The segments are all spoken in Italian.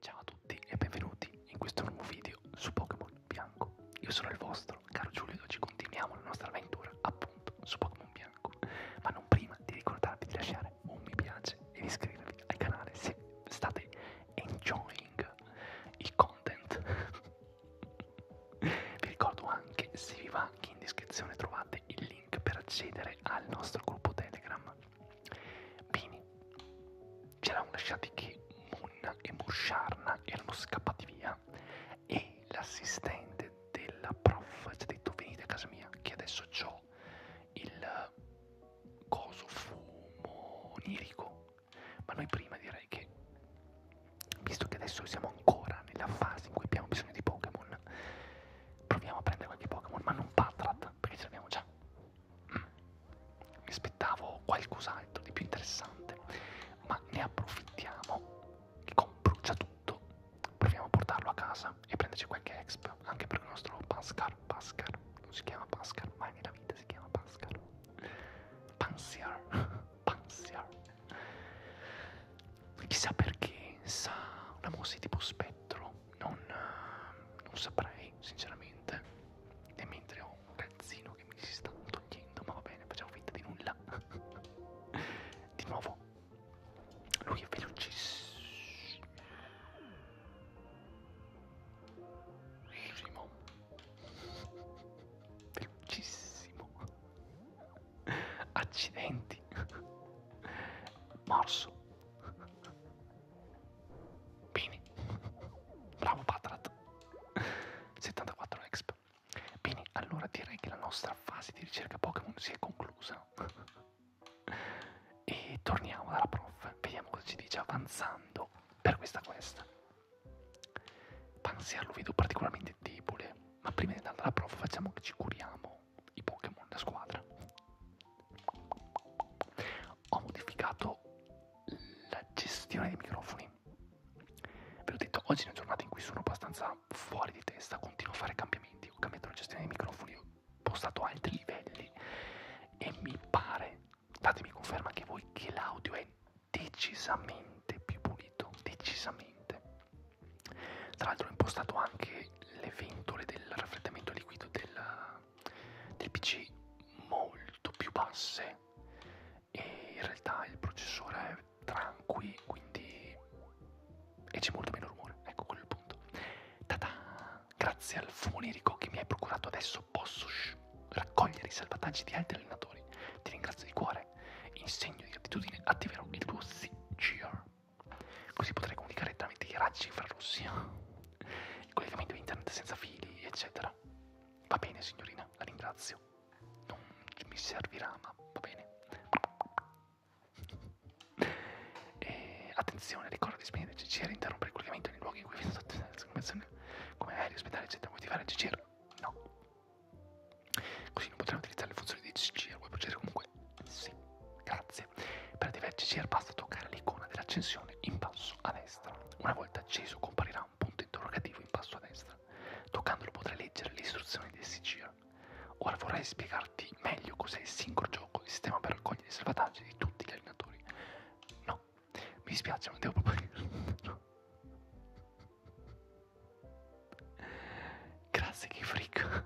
Ciao a tutti e benvenuti in questo nuovo video su Pokémon Bianco. Io sono il vostro caro Giulio ed oggi continuiamo la nostra avventura appunto su Pokémon Bianco. Ma non prima di ricordarvi di lasciare un mi piace e di iscrivervi al canale se state enjoying il content. vi ricordo anche se vi va che in descrizione trovate il link per accedere al nostro gruppo Telegram Bini. C'erano lasciati che Munna e Mursharna erano scappati via e l'assistente della prof ci ha detto venite a casa mia che adesso ho il coso fumo onirico. Ma noi prima direi che, visto che adesso siamo ancora nella fase in cui abbiamo bisogno di Pokémon, proviamo a prendere qualche Pokémon, ma non Patrat, perché ce l'abbiamo già mi aspettavo qualcos'altro di più interessante, ma ne approfittiamo, con brucia tutto, proviamo a portarlo a casa e prenderci qualche exp, anche per il nostro Pascal, Pascal, non si chiama Pascal, mai nella vita si chiama Pascal, Pansier, Pansier, chissà perché, sa, una mossa tipo spettro, non, non saprei sinceramente e mentre ho un calzino che mi si sta togliendo ma va bene facciamo finta di nulla di nuovo lui è velocissimo velocissimo accidenti morso Bini. Bravo Patrat. 74 exp. Bini, allora direi che la nostra fase di ricerca Pokémon si è conclusa. e torniamo dalla prof. Vediamo cosa ci dice avanzando per questa questa. Pansiar lo vedo particolarmente debole, ma prima di andare alla prof facciamo che ci curiamo i Pokémon da squadra ho modificato la gestione dei microfoni. Ve l'ho detto, oggi è una giornata in cui sono abbastanza fuori di testa, continuo a fare cambiamenti, ho cambiato la gestione dei microfoni, ho postato altri livelli e mi pare, datemi conferma anche voi, che l'audio è decisamente più pulito, decisamente. Tra l'altro ho impostato anche le ventole del raffreddamento liquido del, dei PC molto più basse e in realtà il processore è tranqui, quindi e c'è molto meno rumore, ecco quello è il punto. Tada! Grazie al fonirico che mi hai procurato adesso posso raccogliere i salvataggi di altri allenatori. Ti ringrazio di cuore. In segno di gratitudine attiverò il tuo CGR. Così potrai comunicare tramite i raggi infrarossi il collegamento internet senza fili, eccetera. Va bene signorina, la ringrazio. Non mi servirà, ma va bene. E attenzione, ricorda di spegnere il CCR e interrompere il collegamento nei luoghi in cui vi sono state come aerei, ospedali, eccetera. Vuoi attivare il CCR? No. Così non potrai utilizzare le funzioni di CCR, vuoi procedere comunque? Sì, grazie. Per attivare il CCR basta toccare l'icona dell'accensione in basso basso a destra. Una volta acceso comparirà un punto interrogativo in basso a destra. Toccandolo potrai leggere le istruzioni del SIGIR. Ora vorrei spiegarti meglio cos'è il sincro gioco, il sistema per raccogliere i salvataggi di tutti gli allenatori. No, mi dispiace, ma devo proprio no. Grazie che freak.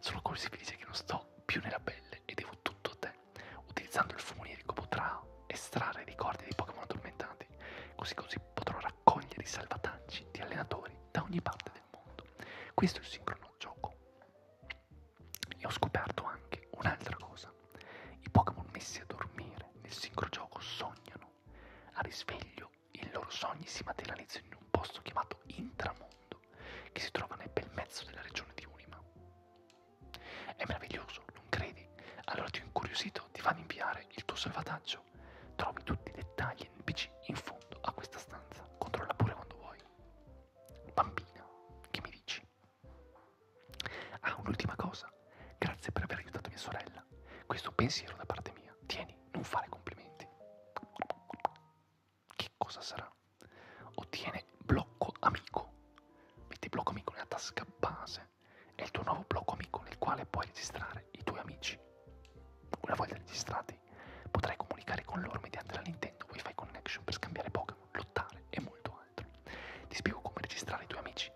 Sono così felice che non sto più nella bella pelle e devo tutto a te. Utilizzando il fumonierico potrà estrarre ricordi dei Pokémon addormentati, così così potrò raccogliere i salvataggi di allenatori da ogni parte del mondo. Questo è il sincrono gioco. E ho scoperto anche un'altra cosa. I Pokémon messi a dormire nel sincrogioco sognano. A risveglio i loro sogni si materializzano in un posto chiamato Intramondo, che si trova nel bel mezzo della regione di Unima. È meraviglioso, non credi? Allora ti ho incuriosito, ti va a inviare il tuo salvataggio. Trovi tutti i dettagli NPC in fondo a questa stanza. Controlla pure quando vuoi. Bambina, che mi dici? Ah, un'ultima cosa. Grazie per aver aiutato mia sorella. Questo pensiero da parte mia. Tieni, non fare complimenti. Che cosa sarà? Ottiene blocco amico. Metti blocco amico nella tasca base. È il tuo nuovo blocco amico nel quale puoi registrare i tuoi amici. Una volta registrati, potrai comunicare con loro mediante la Nintendo Wi-Fi Connection per scambiare Pokémon, lottare e molto altro. Ti spiego come registrare i tuoi amici.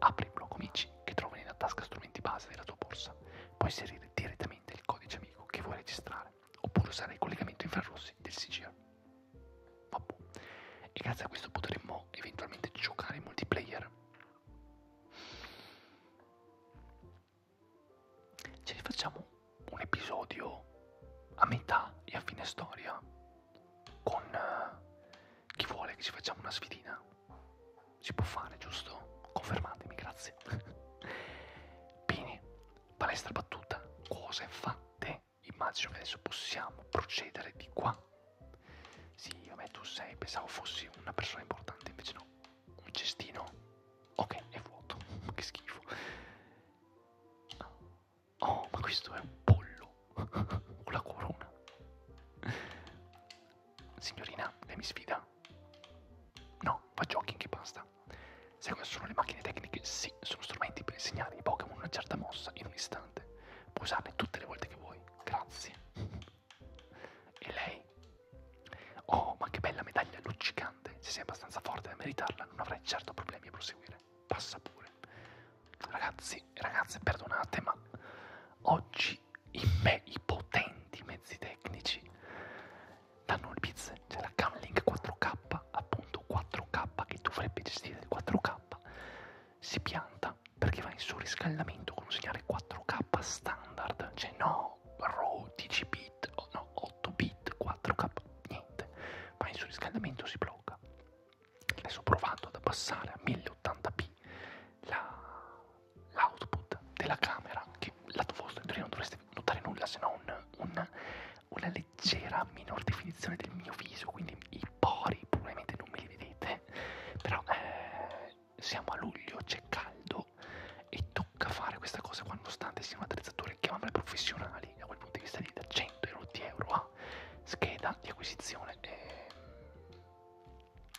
Apri il blocco amici che trovi nella tasca strumenti base della tua borsa. Puoi inserire direttamente il codice amico che vuoi registrare, oppure usare il collegamento infrarossi del CGR. Vabbè. E grazie a questo potremmo eventualmente giocare in multiplayer. Ce ne facciamo un episodio a metà e a fine storia con uh, chi vuole che ci facciamo una sfidina. Si può fare, giusto? Confermatemi, grazie. Bene, palestra battuta, cose fatte immagino che adesso possiamo procedere di qua. Sì, vabbè, tu sei, pensavo fossi una persona importante, invece no. Un cestino. Ok, è vuoto. che schifo. Oh, ma questo è un pollo. Con la corona. Signorina, lei mi sfida? No, fa jogging e basta. Sai cosa sono le macchine tecniche? Sì, sono strumenti per insegnare ai Pokémon una certa mossa in un istante puoi usarle tutte le volte che vuoi. Grazie. E lei? Oh, ma che bella medaglia luccicante. Se sei abbastanza forte da meritarla, non avrai certo problemi a proseguire. Passa pure. Ragazzi e ragazze, perdonate, ma oggi i, me, i potenti mezzi tecnici danno le pizze. C'è la Camlink 4K, appunto 4K che dovrebbe gestire il 4K si pianta perché va in surriscaldamento con un segnale 4K standard, cioè no RAW 10 bit, oh no 8 bit, 4K, niente, va in surriscaldamento si blocca. Adesso ho provato ad abbassare a 1080p l'output la, della camera, che lato vostro in teoria non dovreste notare nulla se non un, una leggera minor definizione del mio viso, quindi i pori probabilmente non me li vedete però eh, siamo a luglio c'è caldo e tocca fare questa cosa qua nonostante siano attrezzature chiamavole professionali da quel punto di vista lì da 100 euro di euro a scheda di acquisizione e...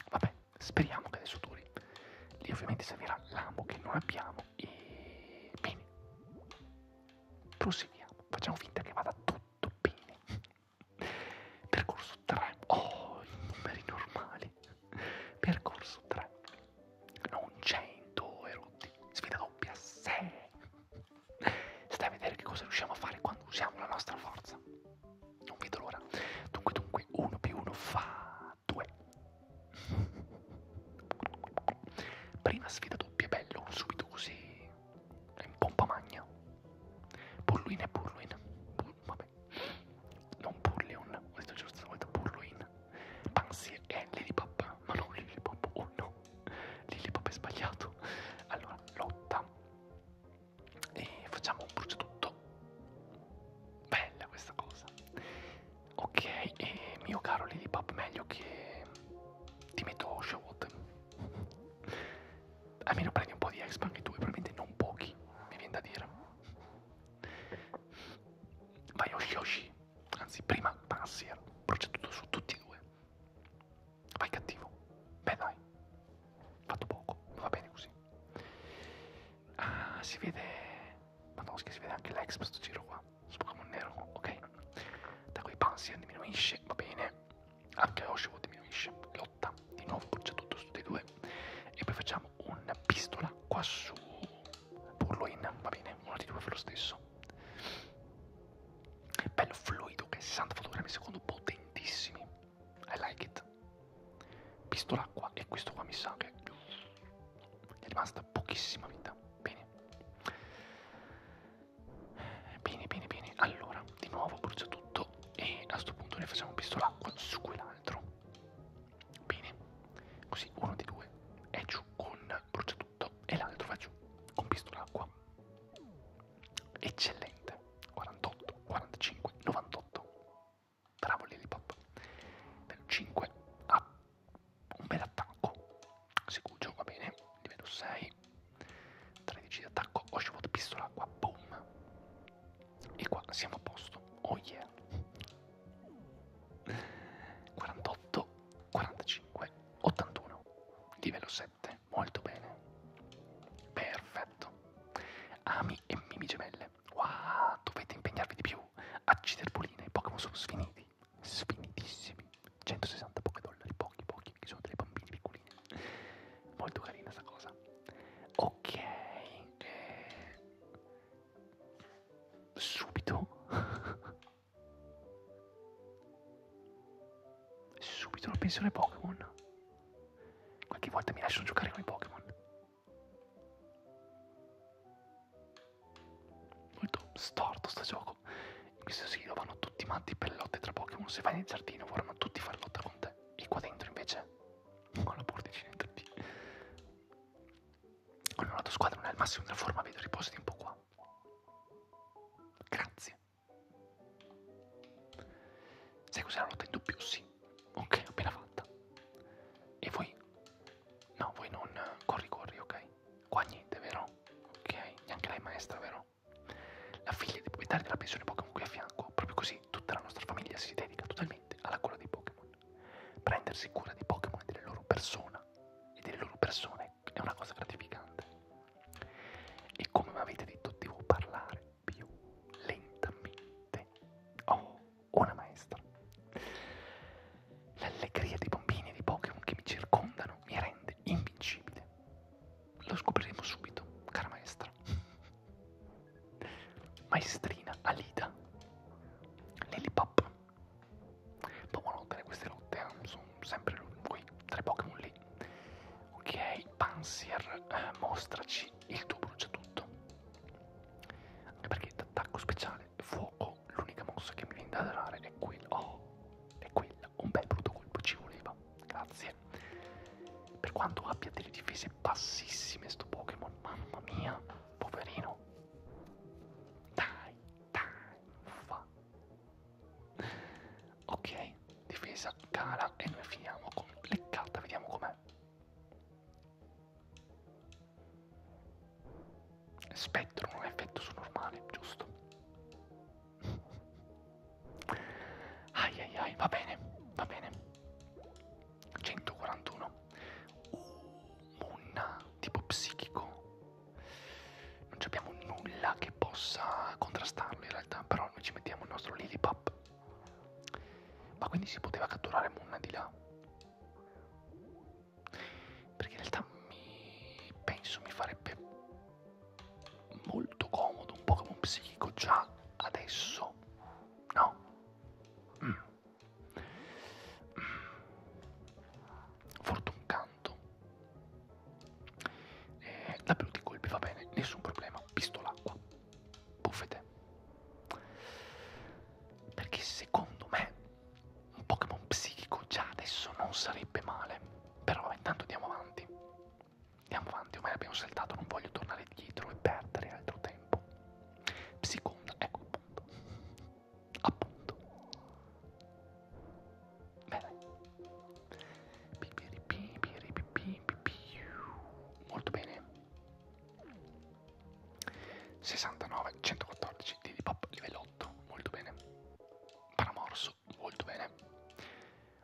vabbè speriamo che adesso duri lì ovviamente servirà l'amo che non abbiamo e bene proseguiamo facciamo finta che vada tutto bene Percorso 3. Oh, i numeri normali. Percorso 3. Non 100 erotti. Sfida doppia 6. Stai a vedere che cosa riusciamo a fare quando usiamo la nostra forza. Non vedo l'ora. Dunque, dunque, 1 più 1 fa 2. Prima sfida doppia, bello, subito così in pompa magna. Purluin è Purluin. Pur, vabbè. Non Purlion, ho detto giusto, ho detto Purluin. Pansy è Lilipop, ma non Lilipop, oh no. Lilipop è sbagliato. Allora, lotta. E facciamo un brucio tutto. Bella questa cosa. Ok, e mio caro Lilipop, meglio che ti metto Showot. Almeno prendi un po' di exp anche tu, e probabilmente non pochi, mi viene da dire. Vai Yoshi Yoshi, anzi prima Pansier, proceduto su tutti e due. Vai cattivo, beh dai, fatto poco, ma va bene così. Ah, si vede, madonna che si vede anche l'exp sto giro qua, su Pokémon nero, ok? Da qui Pansier diminuisce, va bene, anche Oshiwo diminuisce, lotta, di nuovo brucia tutto su dei due e poi facciamo una pistola qua su Burloin, va bene, uno di due fa lo stesso bello fluido che 60 fotogrammi secondo potentissimi I like it pistola qua e questo qua mi sa che gli è rimasta pochissima vita bene Bene, bene, bene. Allora, di nuovo brucia tutto e a sto punto ne facciamo un pistolacqua su quell'altro. Bene. Così uno dei due è giù con brucia tutto e l'altro va giù con pistolacqua. Eccellente. 48, 45, 98. Bravo Lillipop. 5 ha ah, un bel attacco. Segugio va bene. Livello 6. 13 di attacco, Oshimod pistola qua, boom. E qua siamo a posto, oh yeah. 48, 45, 81, livello 7, molto bene. Perfetto. Ami e mimi gemelle, wow, dovete impegnarvi di più. Acciderpoline, i Pokémon sono sfiniti, sfinitissimi. 160 Pokédollari, pochi pochi, perché sono dei bambini piccoli oculini. Molto carina sta cosa. Ok, eh, subito, subito una pensione Pokémon. Qualche volta mi lasciano giocare con i Pokémon. Molto storto sto gioco. In questo sito vanno tutti matti per lotte tra Pokémon. Se vai nel giardino vorranno tutti fare lotta con te. E qua dentro invece con la porticina di Allora la tua squadra non è al massimo della forma, vedo riposati un po' qua. Grazie. Sai cos'è la lotta in doppio? Sì. Ok, appena fatta. E voi? No, voi non corri corri, ok? Qua niente, vero? Ok, neanche lei maestra, vero? La figlia dei proprietari della pensione Pokémon qui a fianco, proprio così tutta la nostra famiglia si dedica totalmente alla cura dei Pokémon. Prendersi cura dei Pokémon e delle loro persone e delle loro persone è una cosa gratificante. E come mi avete detto devo parlare più lentamente. Oh, una maestra. L'allegria dei bambini e dei Pokémon che mi circondano mi rende invincibile. Lo scopriremo subito, cara maestra. Maestrina Alida. Lillipop. Pomonotene queste lotte, eh. sono sempre quei tre Pokémon lì. Ok, Pansier, eh, mostraci il tuo bruciatutto. Anche perché d'attacco speciale, fuoco, l'unica mossa che mi viene da dare è quella. Oh, è quella. Un bel brutto colpo ci voleva. Grazie difese. Per quanto abbia delle difese bassissime sto Pokémon, mamma mia, poverino. Dai, dai, fa. Ok, difesa cara e noi finiamo con leccata, vediamo com'è. Spettro non ha effetto su normale, giusto? Ai ai ai, va bene, va bene. 141. Uh, un tipo psichico. Non abbiamo nulla che possa contrastarlo in realtà, però noi ci mettiamo il nostro Lilipap. Ma quindi si poteva catturare Munna di là? Perché in realtà mi penso mi farebbe molto comodo, un Pokémon psichico già adesso, no? Mm. Mm. Fortun canto. Eh, la più di colpi va bene, nessun problema, pistolacqua, buffete. Perché secondo me un Pokémon psichico già adesso non sarebbe male. Però intanto andiamo avanti. Andiamo avanti, ormai abbiamo saltato, non voglio tornare dietro e perdere altro tempo. Seconda, ecco appunto. Appunto. Bene. Molto bene. 69, 114 di pop livello 8, molto bene. Paramorso, molto bene.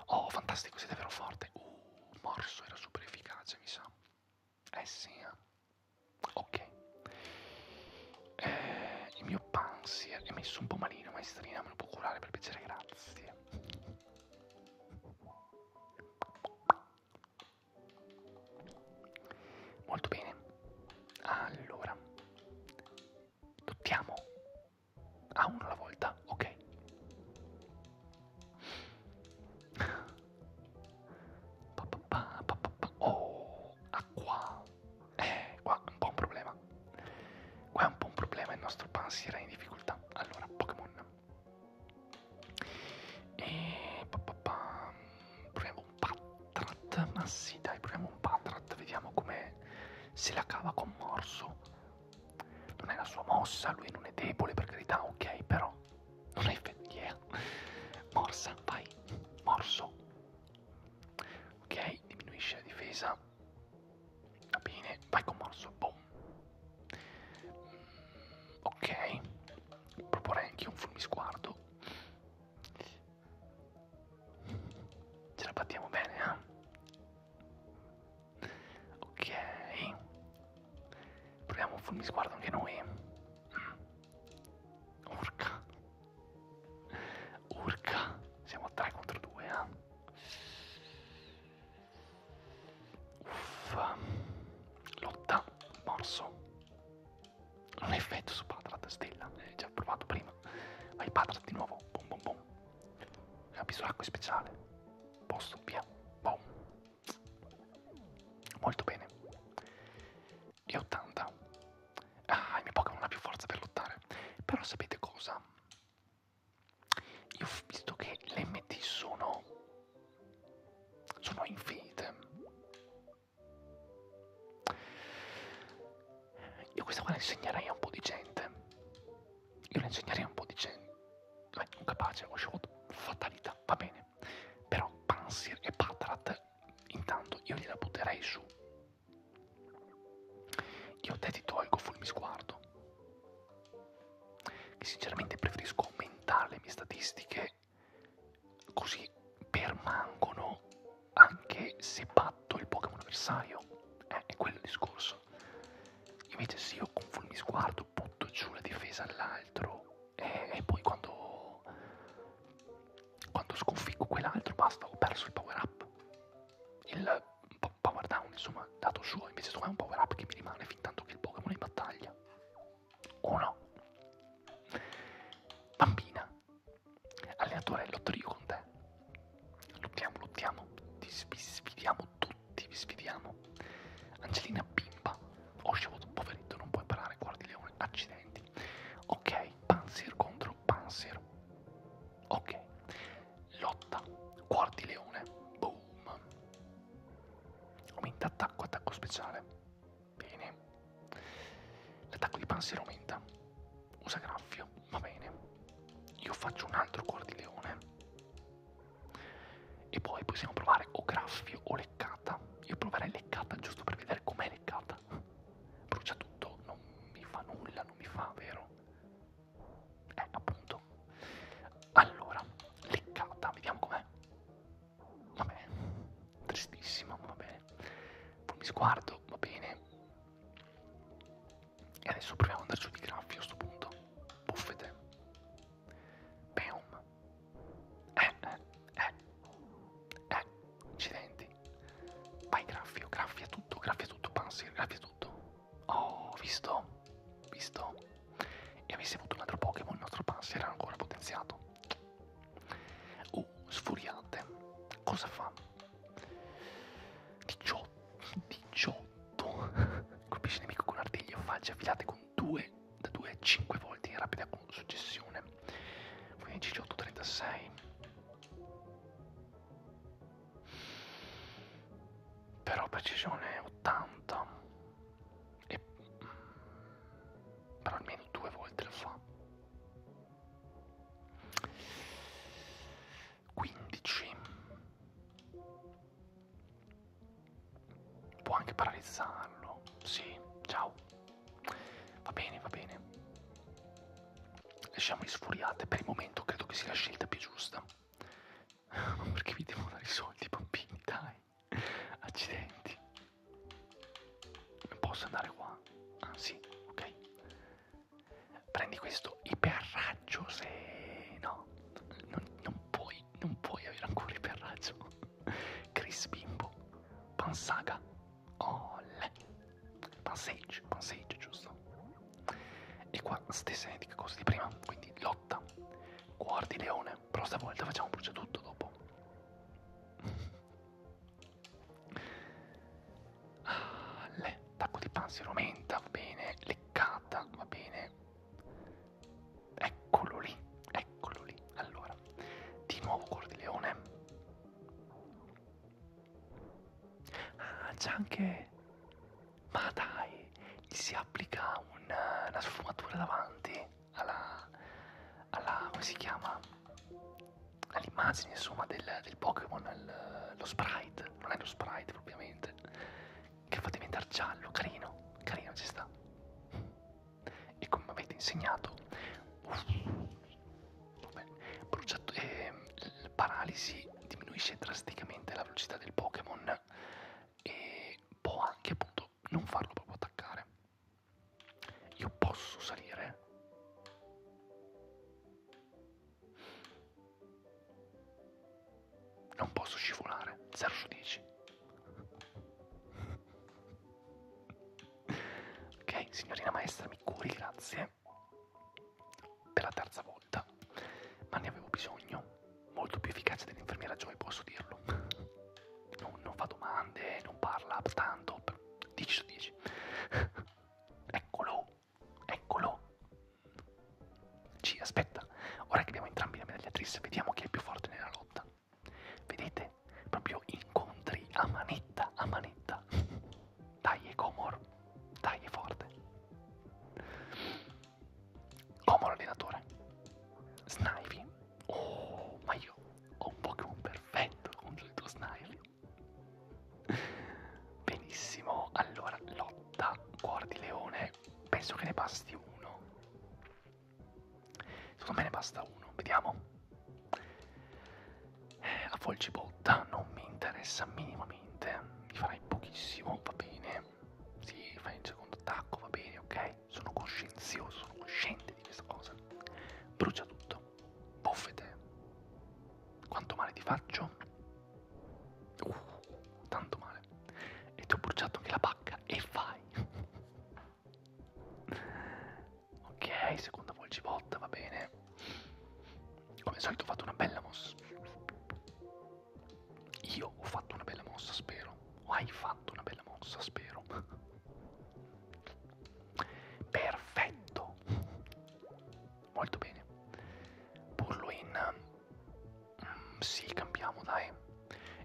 Oh, fantastico, sei davvero forte. Uh, morso era super efficace, mi sa. Eh sì, eh. Ok. Eh, il mio pansi è messo un po' malino, maestrina, me lo può curare per piacere, grazie. Molto bene. Allora, dottiamo Ah, uno alla volta, ok. Pa, pa, pa, pa, pa, pa. Oh, acqua. Ah, eh, qua è un po' un problema. Qua è un po' un problema, il nostro Pansy era in difficoltà. Allora, Pokémon. E... Pa, pa, pa. Proviamo un Patrat. Ma sì, dai, proviamo un Patrat. Vediamo come se la cava con morso non è la sua mossa, lui non è debole per carità, ok, però non è effettiva. Yeah. Morsa, vai, morso. Ok, diminuisce la difesa. Va bene, vai con morso, boom. Mm, ok, proporrei anche un fulmisguardo. Ce la battiamo bene, eh? Ok. Proviamo un fulmisguardo anche noi. Urca. Urca. Siamo a 3 contro 2, eh. Uff. Lotta. Morso. Un effetto su Patrat, stella. L'hai già provato prima. Vai Patrat di nuovo. Bom bom bom. Capisolacco speciale posto, via. Boom. Molto bene. E 80. Ah, il mio Pokémon non ha più forza per lottare. Però sapete cosa? Io ho visto che le MT sono... sono infinite. Io questa qua la insegnerei a un po' di gente. Io le insegnerei un po' dicendo, eh, non capace, ho scelto fatalità, va bene. Però Pansir e Patrat, intanto io gliela butterei su. Io te ti tolgo fulmi sguardo. Che sinceramente preferisco aumentare le mie statistiche così permangono anche se batto il Pokémon avversario. Eh, è quello il discorso. Invece se io con fulmi sguardo io butto giù la difesa all'altro e, e poi quando, quando sconfiggo quell'altro basta, ho perso il power up. Il power down, insomma, dato suo, invece secondo me è un power up che mi rimane fin tanto che il Pokémon è in battaglia. O no? Bambina, allenatore, lotterio con te. Lottiamo, lottiamo, ti sfidiamo tutti ti sfidiamo. Angelina Pimpa, ho scevuto un poveretto, non puoi parare, guardi leone, accidenti. Ok, Panzer contro Panzer. Ok, lotta, guardi leone, boom. Aumenta attacco, attacco speciale. Bene. L'attacco di Panzer aumenta. Usa graffio, va bene. Io faccio un altro guardileone. E poi possiamo provare o graffio o leccata. Io proverei leccata giusto per vedere com'è leccata. Brucia tutto, non mi fa nulla, non mi fa, vero? Eh, appunto. Allora, leccata, vediamo com'è. Vabbè, tristissima, va bene. Poi mi sguardo, va bene. E adesso proviamo ad andare su di graffio a sto punto. Buffete. Boom. Eh, eh, eh. Eh, incidenti. Vai, graffio, graffia tutto, graffia tutto, Pansir, graffia tutto. Oh, visto? Visto? E avessi avuto un altro Pokémon, il nostro Pansir era ancora potenziato. Uh, sfuriante. Cosa fa? 18, 18 tutto. Colpisci il nemico con artigli o falci affilate con 2 da 2 a 5 volte in rapida successione. 15, 18, 36. Però precisione 80. E, mm, però almeno due volte lo fa. 15 Può anche paralizzarlo. Sì, ciao. Va bene, va bene. Lasciamoli sfuriate. Per il momento credo che sia la scelta più giusta. Ma perché vi devo dare i soldi, bambini? Dai. Accidenti. Posso andare qua? Ah, sì, ok. Prendi questo iperraggio raggio se no non, non puoi non puoi avere ancora per raggio Chris Bimbo Pansaga Olle Pansage Pansage giusto e qua stessa identica cosa di prima quindi lotta cuor di leone però stavolta facciamo brucia tutto dopo ah, le tacco di panzero menta va bene leccata va bene Eccolo lì, eccolo lì. Allora, di nuovo cuor di leone. Ah, c'è anche... Ma dai, gli si applica una, una sfumatura davanti alla... alla... come si chiama? All'immagine, insomma, del, del Pokémon, lo sprite. Non è lo sprite propriamente che fa diventare giallo, carino, carino ci sta. E come avete insegnato, uff, vabbè, bruciato, eh, paralisi diminuisce drasticamente la velocità del Pokémon e può anche appunto non farlo proprio attaccare. Io posso salire. Non posso scivolare. 0 su 10. ok, signorina maestra, mi curi, grazie. Per la terza volta. Ma ne avevo bisogno. Molto più efficace dell'infermiera Joy, posso dirlo. non, non fa domande, non parla tanto. 10 su 10. eccolo, eccolo. Ci aspetta. Ora che abbiamo entrambi la medagliatrice, vediamo chi è più forte nella lotta. Vedete? Proprio incontri a manetta, a manetta. Dai, è Comor. Dai, è forte. Comor allenatore. Snivy. Oh, ma io ho un Pokémon perfetto contro il tuo Snivy. Benissimo, allora lotta, cuor di leone, penso che ne basti uno. Secondo me ne basta uno, vediamo. Eh, a Folgibotta non mi interessa minimamente, mi farai pochissimo, va bene. Sì, fai il secondo attacco, va bene, ok? Sono coscienzioso, sono cosciente di questa cosa. Brucia tutto, buffete. Quanto male ti faccio? Uh, tanto male male e ti ho bruciato anche la pacca e vai ok seconda volgibotta va bene come al solito ho fatto una bella mossa io ho fatto una bella mossa spero o hai fatto una bella mossa spero perfetto molto bene burlo in sì, cambiamo, dai.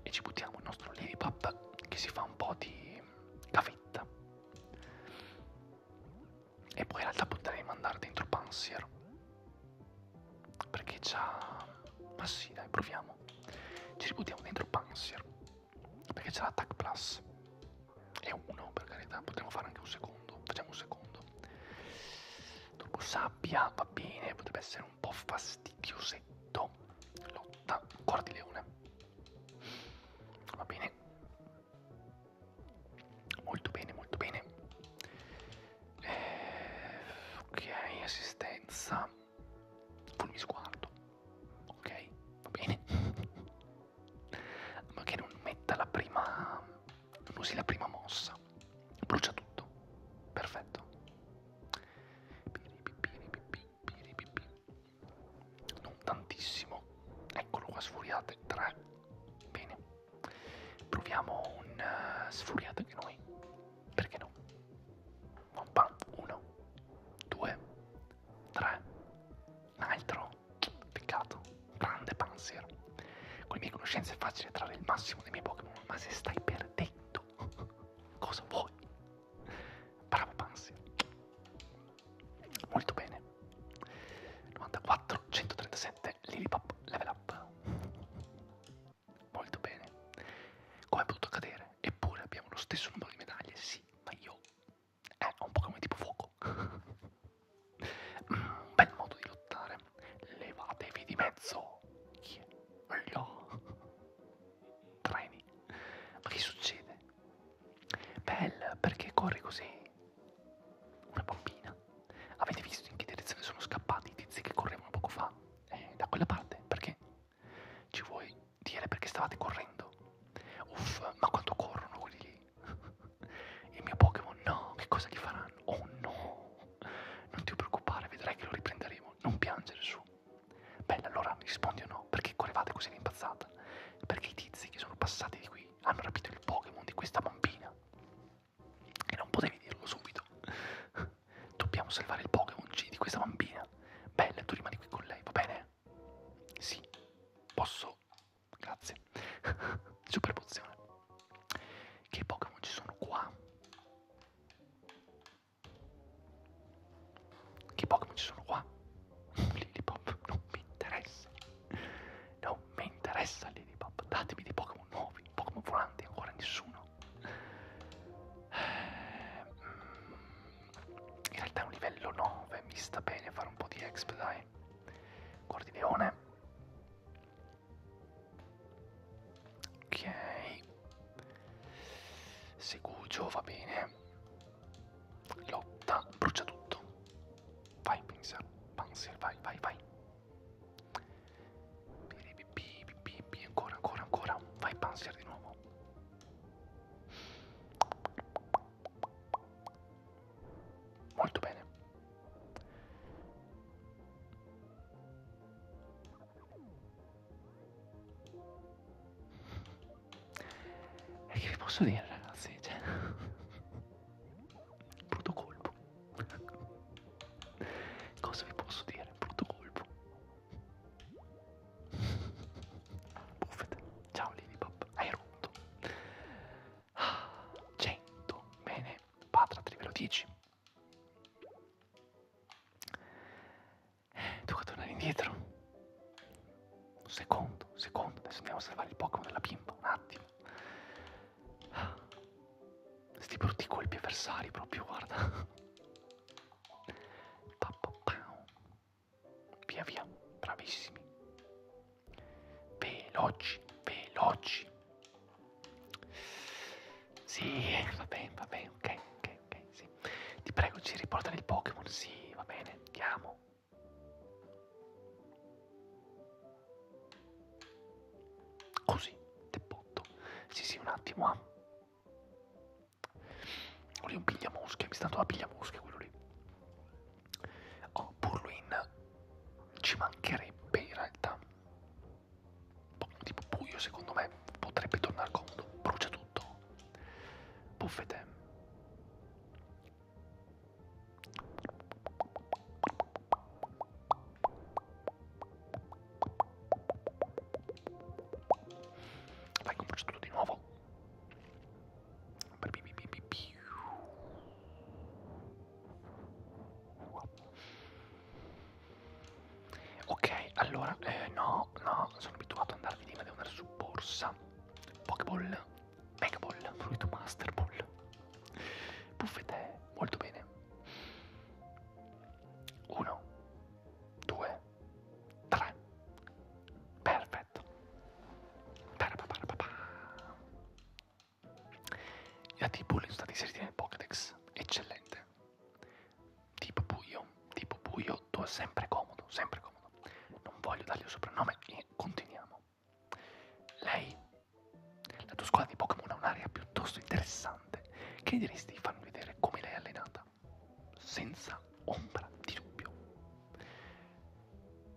E ci buttiamo il nostro Ladybub che si fa un po' di cavetta. E poi in realtà potrei mandare dentro Pansier. Perché c'ha... Ma sì, dai, proviamo. Ci ributtiamo dentro Pansier. Perché c'è l'attack plus. È uno, per carità. Potremmo fare anche un secondo. Facciamo un secondo. Dopo sabbia, va bene. Potrebbe essere un po' fastidiosetto. Lotta, cuore di leone. Va bene. Molto bene, molto bene. Eh, ok, assistenza. Fulmi sguardo. Ok, va bene. Ma che non metta la prima... non usi la prima mossa. Brucia tutto. Perfetto. Non tantissimo. Eccolo qua, sfuriate 3. Bene. Proviamo un uh, sfuriate anche noi. Perché no? One pump, 1, 2, 3. Un altro. Peccato. Grande Panzer. Con le mie conoscenze è facile trarre il massimo dei miei Pokémon, ma se stai perdendo Cosa vuoi? Bravo Pansia. Molto bene. 94, 137, Lilipop, level up. Molto bene. Come è potuto accadere? Eppure abbiamo lo stesso numero di medaglie, sì, ma io... Eh, ho un Pokémon tipo fuoco. mm, bel modo di lottare. Levatevi di mezzo. Yeah treni. Ma che succede? Belle, perché corri così? Una bambina. Avete visto in che direzione sono scappati i tizi che correvano poco fa? Eh, da quella parte, perché? Ci vuoi dire perché stavate correndo? Uff, ma quanto corrono quelli lì? Il mio Pokémon, no, che cosa gli faranno? Oh no! Non ti preoccupare, vedrai che lo riprenderemo. Non piangere su. Bella, allora mi rispondi o no? Perché correvate così rimbazzata? Perché i tizi che sono passati di qui hanno rapito il Pokémon di questa bambina. E non potevi dirlo subito. Dobbiamo salvare il Pokémon G di questa bambina. Bella, tu rimani qui con lei, va bene? Sì, posso. Grazie. Super pozione. Che Pokémon ci sono qua? Che Pokémon ci sono qua? Lilipop non mi interessa. Non mi interessa Lilipop. Datemi dei Pokémon nuovi. Pokémon volanti ancora nessuno. Eh, mm, in realtà è un livello 9. Mi sta bene fare un po' di exp, dai. Cordileone. Ok. Segugio va bene. Lotta, brucia tutto. Vai, Panzer, Panzer, vai, vai, vai. Bibi, bibi, bibi, ancora, ancora, ancora. Vai, Panzer di nuovo. Molto bene. E che vi posso dire ragazzi? Cioè, brutto colpo. Cosa vi posso dire? Brutto colpo. Buffet. Ciao Lilipop, hai rotto. 100. Bene, Patratri ve lo dici. Devo eh, tornare indietro. Un secondo, un secondo. Adesso andiamo a salvare il Pokémon della bimba. Un attimo. Ah. Sti brutti colpi avversari proprio, guarda. Pa, pa, pa. Via via, bravissimi. Veloci, veloci. Sì, va bene, va bene, ok, ok, ok, sì. Ti prego, ci riportano il Pokémon, sì, va bene, ti amo. Così, te botto. Sì, sì, un attimo, eh. Quello un pigliamosche, mi sta dando la pigliamosche quello lì. Oh, Purluin ci mancherebbe in realtà po tipo buio secondo me potrebbe tornare comodo brucia tutto buffete vai con brucia tutto di nuovo Ok, allora, eh, no, no, sono abituato ad andare di lì, devo andare su borsa. Pokéball, Megaball, Fruit Master Ball. Buffete, molto bene. Uno, due, tre. Perfetto. I dati bulli sono stati inseriti nel Pokédex. Eccellente tipo buio, tipo buio, tu è sempre comodo, sempre comodo. Non voglio dargli un soprannome e continuiamo. Lei, la tua scuola di Pokémon ha un'area piuttosto interessante. Che diresti di farmi vedere come lei è allenata? Senza ombra di dubbio.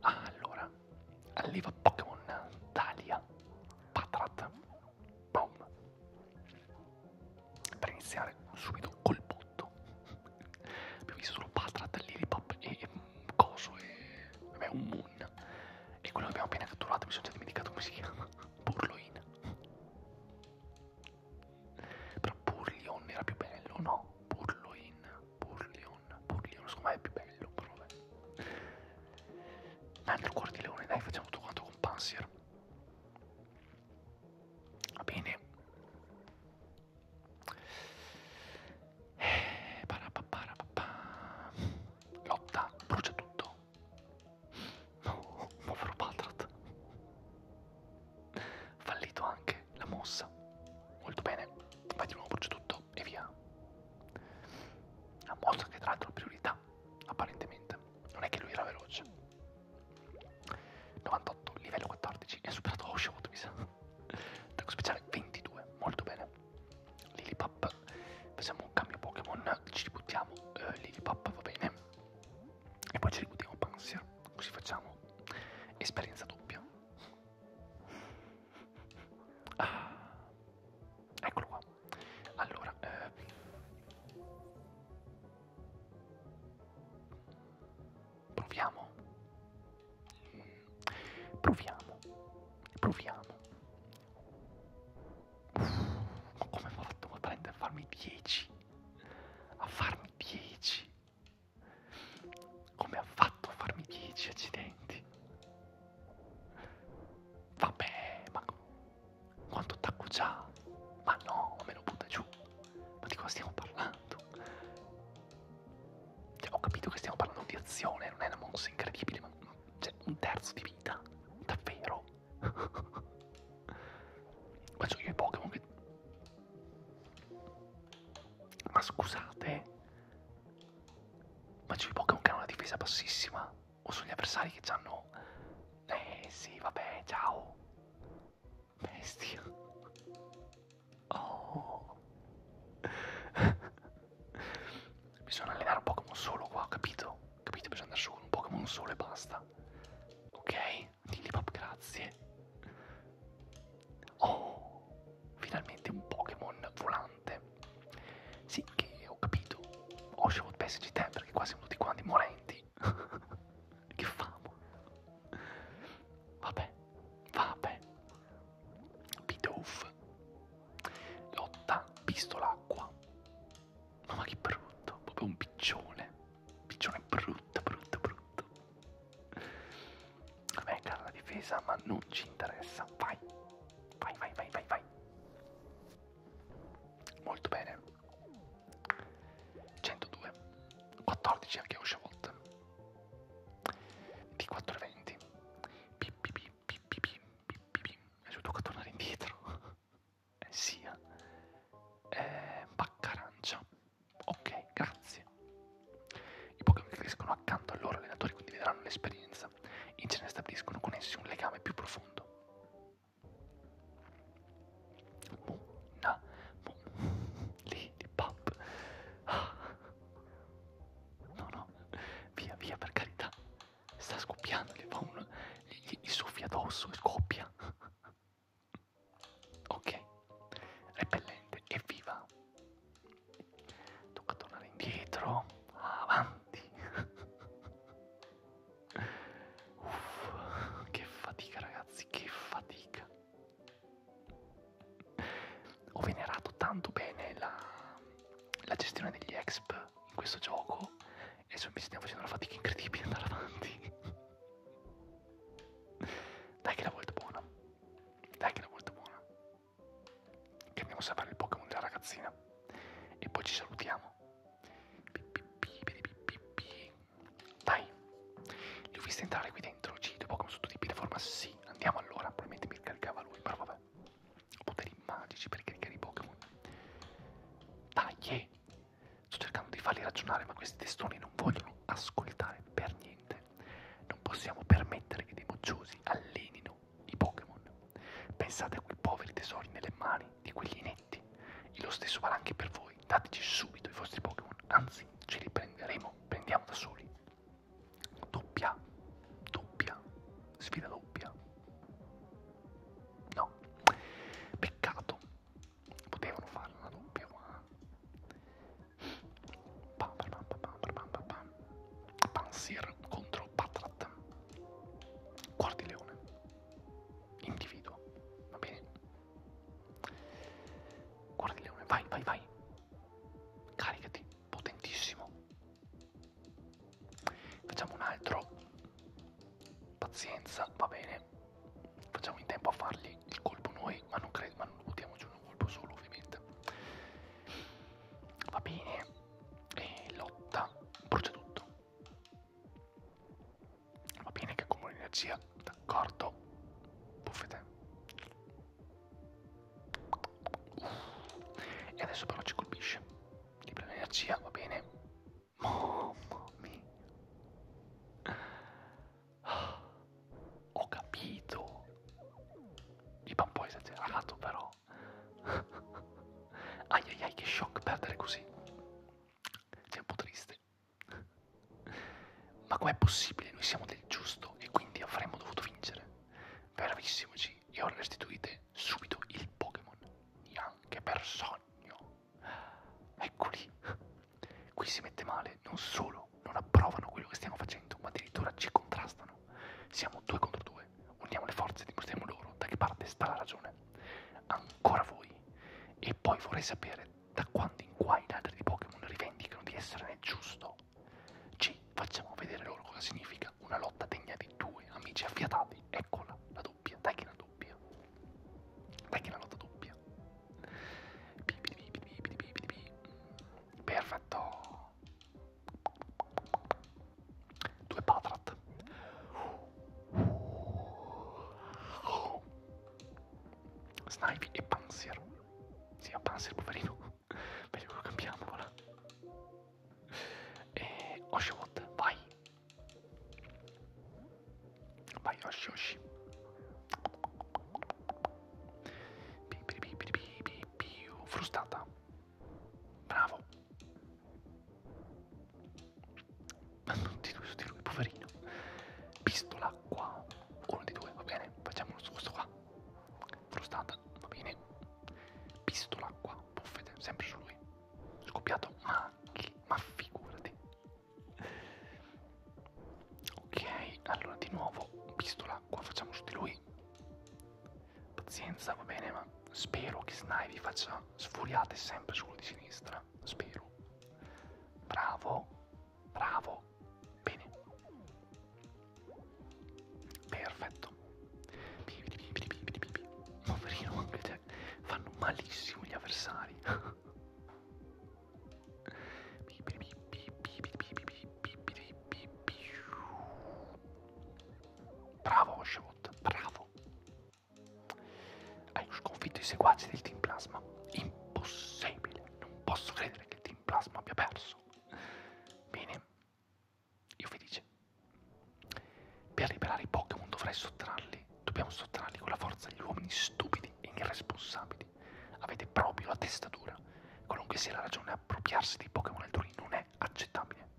Ah, allora, alleva Pokémon Talia Patrat. Boom per iniziare subito col botto abbiamo visto solo Patrat, Lilipop e, e Coso e vabbè, un Moon e quello che abbiamo appena catturato mi sono già dimenticato come si chiama Burloin però Burlion era più bello no? Burloin, Burlion, Burlion secondo me è più bello però vabbè altro cuore di leone dai facciamo tutto quanto con Pansier Va bene. Eh, Lotta, brucia tutto. No, povero Patrat. Fallito anche la mossa. Molto bene. Vai di nuovo, brucia tutto e via. La mossa che tra l'altro priorità, apparentemente. Non è che lui era veloce. 98, livello 14, e ha superato Oshawott mi sa. Tacco speciale 22, molto bene. Lilipap, facciamo un cambio Pokémon, ci ributtiamo eh, Lilipap, va bene. E poi ci ributtiamo Pansia, così facciamo esperienza doppia. Ah. Eccolo qua. Allora, eh, Proviamo. Proviamo. Proviamo. Uff, ma come ho fatto a prendere a farmi 10? A farmi 10? Come ha fatto a farmi 10 accidenti? Vabbè, ma quanto attacco già? Ma no, me lo butta giù. Ma di cosa stiamo parlando? Cioè, ho capito che stiamo parlando di azione, non è una mossa incredibile, ma cioè, un terzo di vita, davvero? Faccio io i Pokémon che... Ma scusate? Ma c'ho i Pokémon che hanno una difesa bassissima? O sono gli avversari che hanno... Eh sì, vabbè, ciao. Bestia. Oh. Bisogna allenare un Pokémon solo qua, capito? Capite? Bisogna andare su con un Pokémon solo e basta. Ok, Lilipop, grazie. Oh, finalmente un Pokémon volante. Sì, che ho capito. Ho scevuto pessimi di te perché qua siamo tutti quanti morenti. Che famo. Vabbè, vabbè. Bidouf. Lotta, pistola, acqua. Mamma che brutto, proprio un piccione. Piccione brutto, brutto, brutto. Vabbè, cara la difesa, ma non ci interessa. Vai, vai, vai, vai, vai, vai. Molto bene. 102 14 anche Oshawolt di 420 pip pip pip pip pip aiuto a tornare indietro eh, sia eh, bacca arancia ok grazie i Pokémon che crescono accanto al loro allenatore condivideranno l'esperienza in genere stabiliscono con essi un legame più profondo Muna, Lily Pop. Ah. No, no, via, via, per carità. Sta scoppiando, gli fa un... gli, gli soffia addosso e scoppia. ok, repellente, evviva. Tocca tornare indietro, avanti. Uff, che fatica ragazzi, che fatica. Ho venerato tanto bene la, la gestione degli exp in questo gioco e mi stiamo facendo una fatica incredibile andare avanti. Dai che è la volta buona. Dai che è la volta buona. Che andiamo a salvare il Pokémon della ragazzina. E poi ci salutiamo. Dai, li ho visti entrare qui dentro, Cid, Pokémon su tutti i piattaforma, sì, andiamo allora, probabilmente mi caricava lui, però vabbè. Ho poteri magici per caricare i Pokémon. Dai, yeah. sto cercando di farli ragionare, ma questi testoni non vogliono ascoltare per niente. Non possiamo permettere che dei mocciosi allenino i Pokémon. Pensate a quei poveri tesori nelle mani di quegli inetti. E lo stesso vale anche per voi voi, dateci subito i vostri Pokémon, anzi ce li prenderemo, prendiamo da soli. Doppia, doppia, sfida doppia. No, peccato, potevano fare una doppia ma... Pansir contro Patrat. Quartileone. Individuo. Va bene? Guarda il leone, vai, vai, vai. Caricati, potentissimo. Facciamo un altro. Pazienza, va bene. Facciamo in tempo a fargli il colpo noi, ma non credo, ma non buttiamoci un colpo solo ovviamente. Va bene. E lotta, brucia tutto. Va bene che accumuli energia, d'accordo. Buffete. E adesso però ci colpisce. Libera l'energia, va bene. Mamma mia. Ho capito. Iba un po' esagerato però. ai ai ai che shock perdere così. Sei un po' triste giuste. Ma com'è possibile? Noi siamo del giusto e quindi avremmo dovuto vincere. Bravissimo G, e ora restituite subito il Pokémon. Neanche per sogno. Eccoli. Qui si mette male, non solo non approvano quello che stiamo facendo, ma addirittura ci contrastano. Siamo due contro due, uniamo le forze e dimostriamo loro da che parte sta la ragione. Ancora voi. E poi vorrei sapere da quando in qua i ladri di Pokémon rivendicano di essere nel giusto. Ci facciamo vedere loro cosa significa una lotta degna di due amici affiatati. Eccola, la doppia, dai che la doppia. Dai che la lotta doppia. Perfetto. Due Patrat. Snipe e Panzer si sì, a Panzer poverino meglio cambiamola e Oshawott vai vai Oshi Oshi più frustata bravo ma non ti di lui poverino pistola l'acqua uno di due va bene facciamolo su questo qua frustata va bene pistola qua buffete sempre su lui scoppiato ma che ma figurati ok allora di nuovo pistola qua facciamo su di lui pazienza va bene ma spero che Snivy faccia sfuriate sempre solo di sinistra spero bravo Bravo. Bene. Perfetto. Poverino, anche te. Fanno malissimo gli avversari. Bravo Oshawott, bravo. Hai sconfitto i seguaci del Team Plasma. Impossibile, non posso credere che il Team Plasma abbia perso. Bene, io felice. Per liberare i Pokémon dovrai sottrarli, dobbiamo sottrarli con la forza agli uomini stupidi e irresponsabili. Avete proprio la testa dura. Qualunque sia la ragione, appropriarsi dei Pokémon altrui non è accettabile.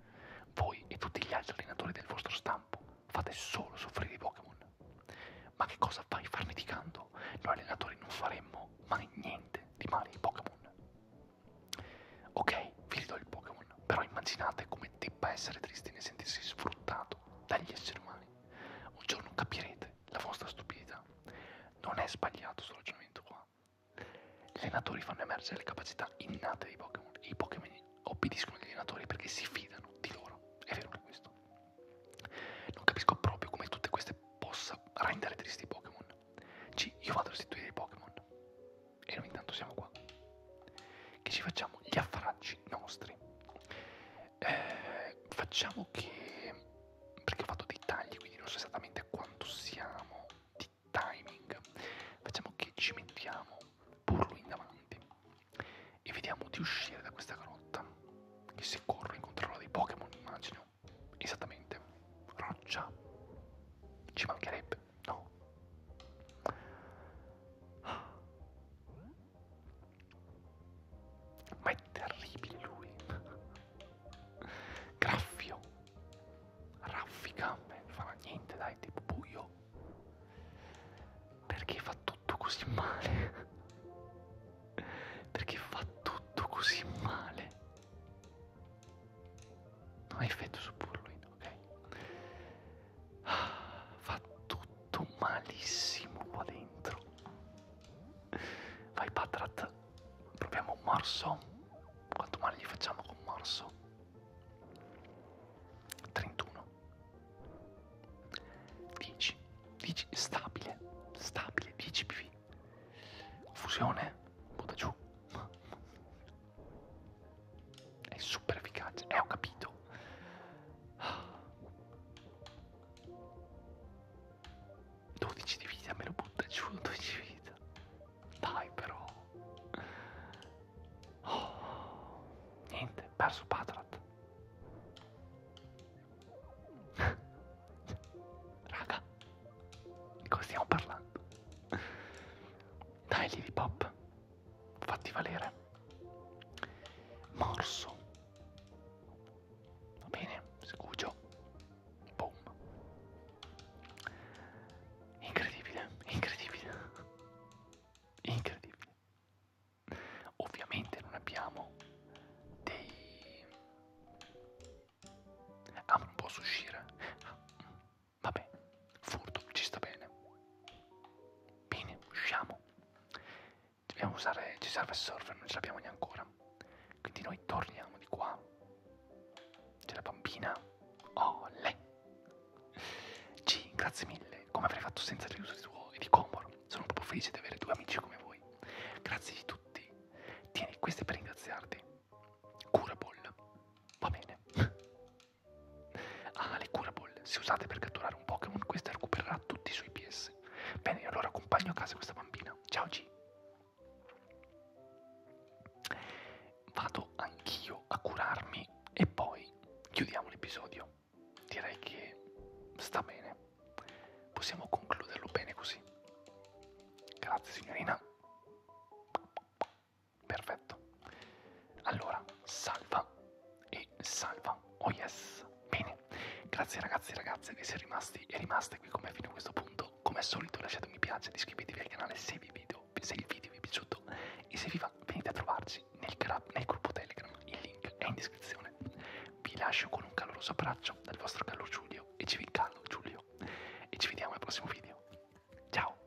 Voi e tutti gli altri allenatori del vostro stampo fate solo soffrire i Pokémon. Ma che cosa fai farneticando? Noi allenatori non faremmo mai niente di male ai Pokémon. Ok, vi ridò il Pokémon, però immaginate come debba essere triste nel sentirsi sfruttato dagli esseri umani. Un giorno capirete la vostra stupidità. Non è sbagliato questo ragionamento qua. Gli allenatori fanno emergere le capacità innate dei Pokémon e i Pokémon obbediscono agli allenatori perché si fidano di loro. È vero che questo. Non capisco proprio come tutte queste possa rendere tristi i Pokémon. Ci, io vado a restituire i Pokémon. E noi intanto siamo qua. Che ci facciamo gli affaracci nostri. Eh, facciamo che... Perché ho fatto dei tagli, quindi non so esattamente quanto siamo di timing. Facciamo che ci mettiamo Burro in davanti. E vediamo di uscire da questa grotta che se corro incontrerò dei Pokémon, immagino. Esattamente. Roccia. Ci mancherebbe, no? Ma è terribile lui. Graffio. Raffica. Beh, non farà niente, dai, tipo buio. Perché fa tutto così male? Perché fa tutto così male. Non ha effetto su Purloin, ok? Ah, fa tutto malissimo qua dentro. Vai Patrat, proviamo un morso. Quanto male gli facciamo con morso? 31. 10. 10 stabile, stabile, 10 PV. Fusione, butta giù. È super efficace, eh ho capito. Ah. 12 di vita, me lo butta giù, 12 di vita. Dai però. Oh. Niente, perso Patrat. Raga, di cosa stiamo parlando? Dai Lily Pop, fatti valere. Morso. Va bene, scuggio. Boom. Incredibile, incredibile. Incredibile. Ovviamente non abbiamo dei Ah, non posso uscire. Ah, vabbè, furto, ci sta bene. Bene, usciamo. Dobbiamo usare, ci serve il server, non ce l'abbiamo neanche ancora. Quindi noi torniamo di qua. C'è la bambina. Oh, lei. G, grazie mille. Come avrei fatto senza l'aiuto di tuo e di Comor? Sono proprio felice di avere due amici come voi. Grazie di tutti Tieni, questo è per ringraziarti. Curaboll. Va bene. ah, le curaboll. Se usate per catturare un Pokémon, questa recupererà tutti i suoi PS. Bene, allora accompagno a casa questa bambina. Ciao G. Vado anch'io a curarmi e poi chiudiamo l'episodio. Direi che sta bene. Possiamo concluderlo bene così. Grazie signorina. Perfetto. Allora, salva e salva. Oh yes. Bene. Grazie ragazzi e ragazze che siete rimasti e rimaste qui con me fino a questo punto. Come al solito lasciate un mi piace ed iscrivetevi al canale se, vi video, se il video vi è piaciuto e se vi va venite a trovarci nel, nel gruppo Telegram. Il link è in descrizione trasmissione. Vi lascio con un caloroso abbraccio dal vostro calor Giulio e ci callo Giulio e ci vediamo al prossimo video. Ciao!